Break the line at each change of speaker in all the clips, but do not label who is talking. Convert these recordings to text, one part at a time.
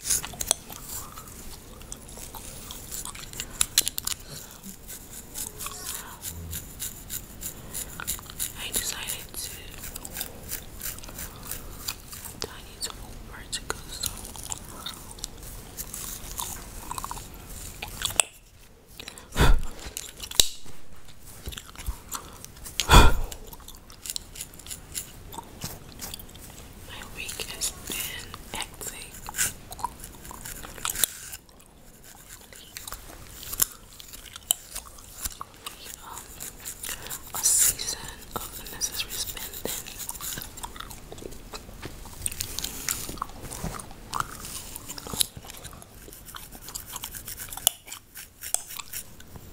I decided to I need some more particles. My week has been um, a season of unnecessary spending.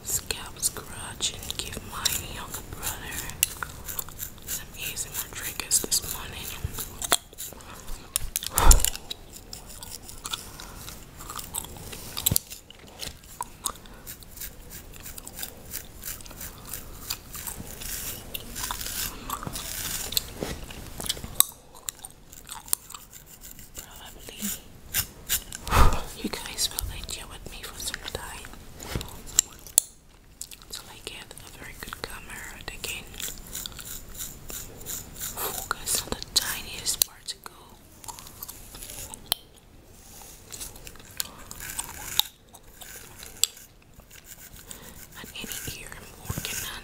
Scalp's garage and give my younger brother some ASMR triggers this morning. Probably you guys will endure with me for some time. So I get a very good camera that focus on the tiniest particle. And any ear I'm working on.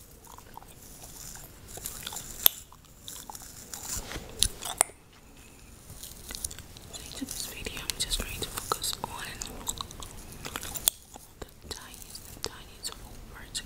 So into this video, I'm just trying to focus on the tiniest, tiniest of particles.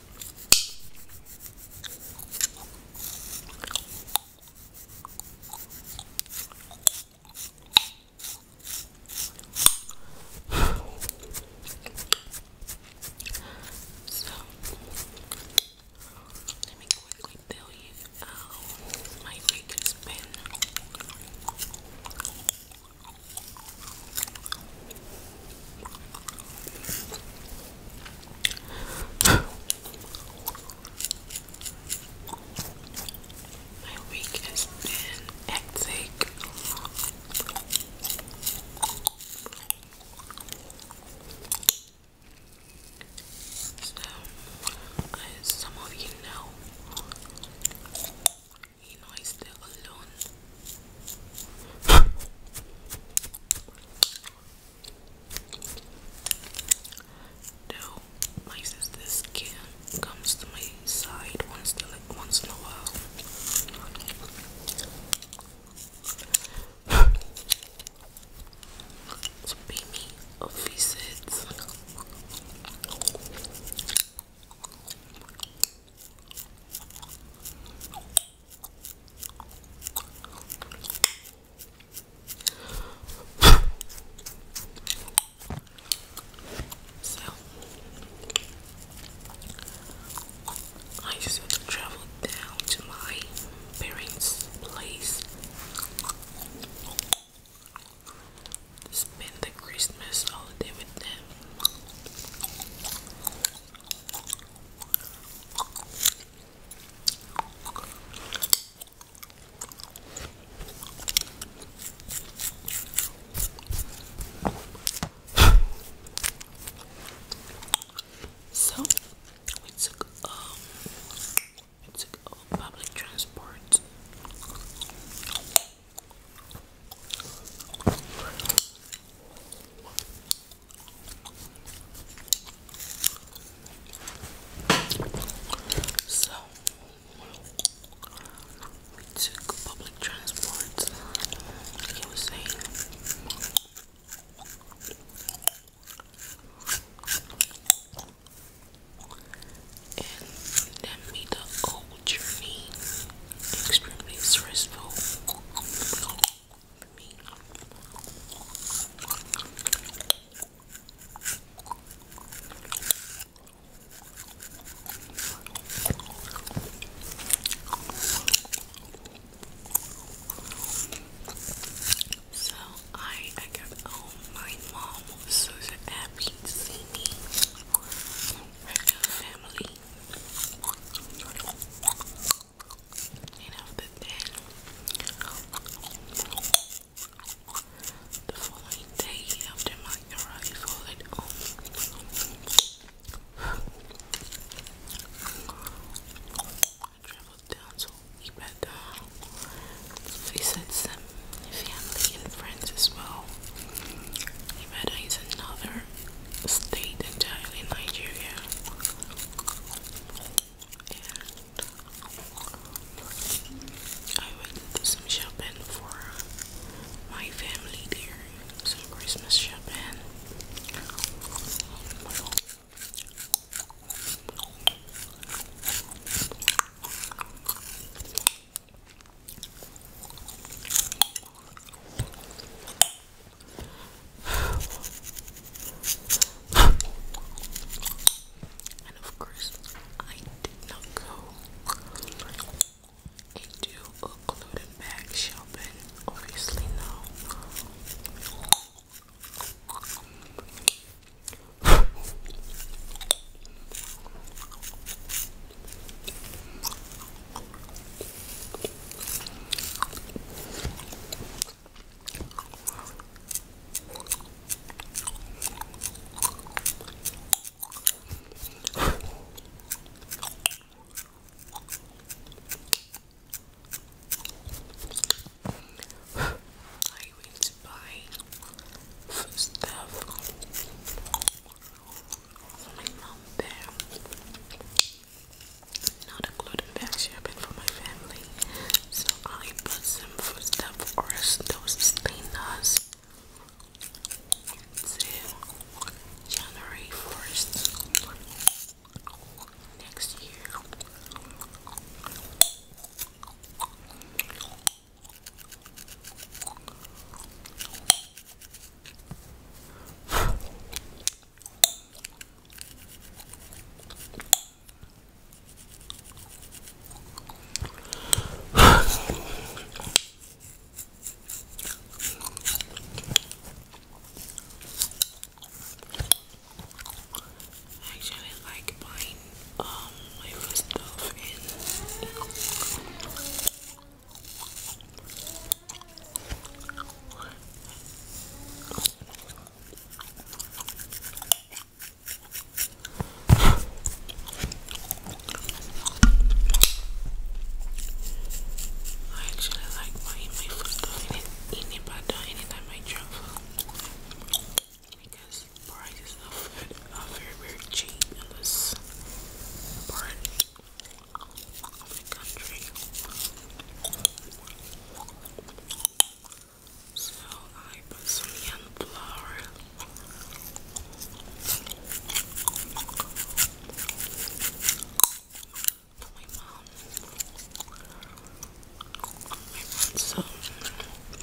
So let me quickly tell you how my week has been. My week has been hectic. So, as some of you know, you know, I'm still alone. Though my sister's skin comes to my side once in like once in a while to pay me a so I used to travel down to my parents' place spend the Christmas holiday with them so we took um we took uh, public transport so we took public transport. He was saying and then we the journey, extremely stressful for me. So I I got home. Oh, my mom so happy to see me. Regular family the following day after my arrival at home, I traveled down to Ibadan to visit some family and friends as well. Nevada is another state entirely in Nigeria. I went to some shopping for my family there, some Christmas shopping. And of course, I did not go into a gluten bag shopping, obviously, no. I went to buy food stuff my mom there. Not a gluten bag shopping for my family. So I put some food stuff or those stingers till January 1st next year. I actually like buying um, flavor stuff in. I actually like my food stuff in, in Ibadan anytime travel because prices are very very cheap in this part of the country. So I put some young flour. so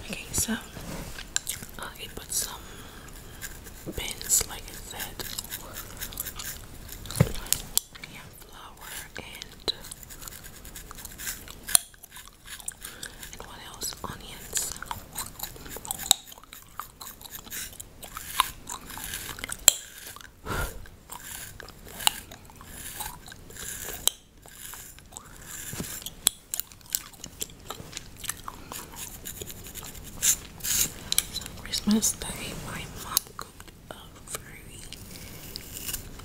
Okay, so I put some pins, like I said. Yeah, and and what else? Onions. so Christmas Day, my mom cooked a very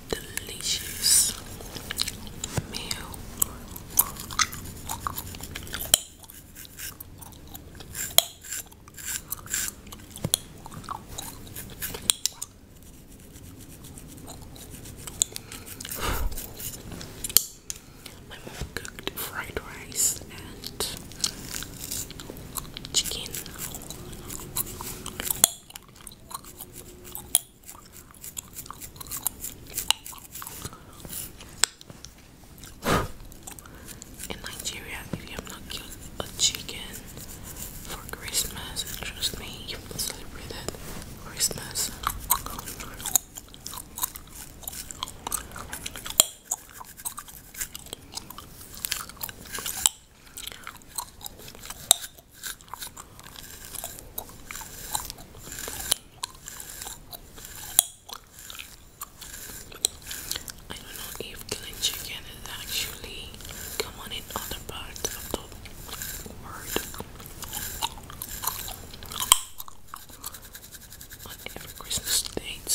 delicious meal my mom cooked fried rice and chicken. In Nigeria, if you have not killed a chicken for Christmas, trust me, you will celebrate it Christmas. I don't know if killing chicken is actually common in other parts of the world. On Christmas date.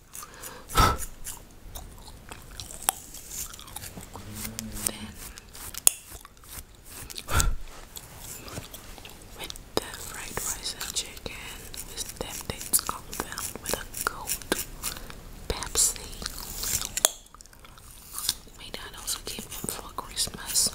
then with the fried rice and chicken, this tempting's compound with a cold Pepsi. My dad also gave him for Christmas.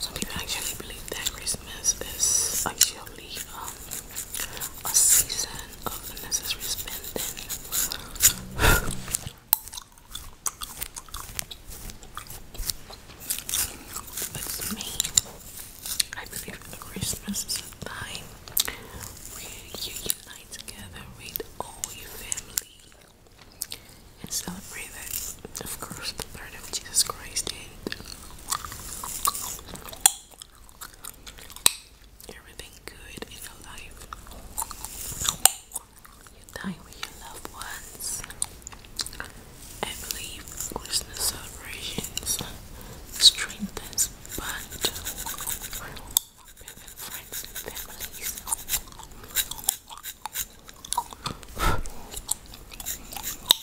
Some people actually believe that Christmas is actually a season of unnecessary spending. With me, I believe that Christmas is a time where you unite together with all your family and celebrate that, of course, the birth of Jesus Christ Everything good in your life. time with your loved ones. I believe Christmas celebrations strengthens bond between friends and families.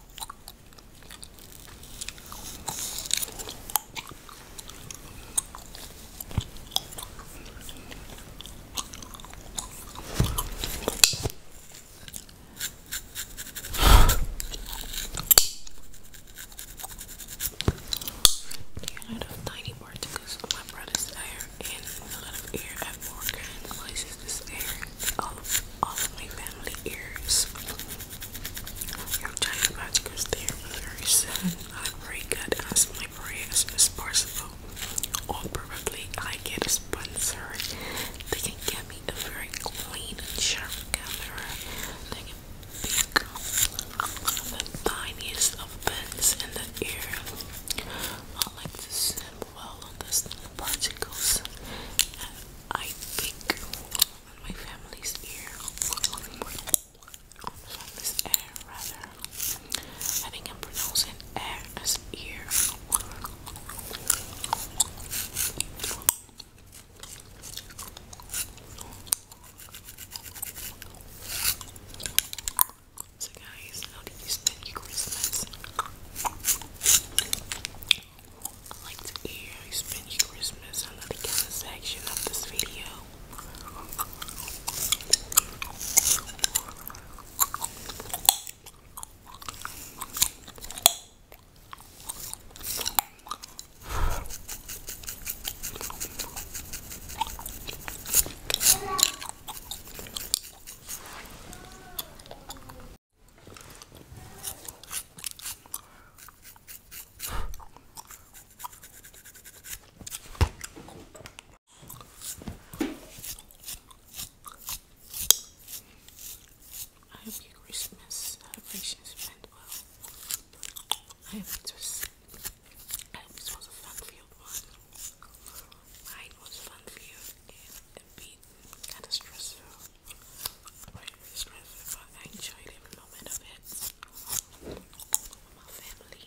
I have tiny particles on my brother's tire and a lot of air have more of places to stare. All of, my family ears. I'm trying about to very soon. as my prayers as possible. Or I get a sponsor. They can get me a very clean sharp camera. They can pick the tiniest of bends in the ear. I like to snip well on this particles. Uh, I think my family's ear, rather. I think I'm pronouncing air as ear. So guys, how do you Christmas. i like to hear you spend your Christmas under the comment section of this video. I hope your Christmas celebrations went well. I hope it was, I hope it was a fun-filled one. Mine was fun-filled and beaten, kind of stressful, but I enjoyed every moment of it with my family.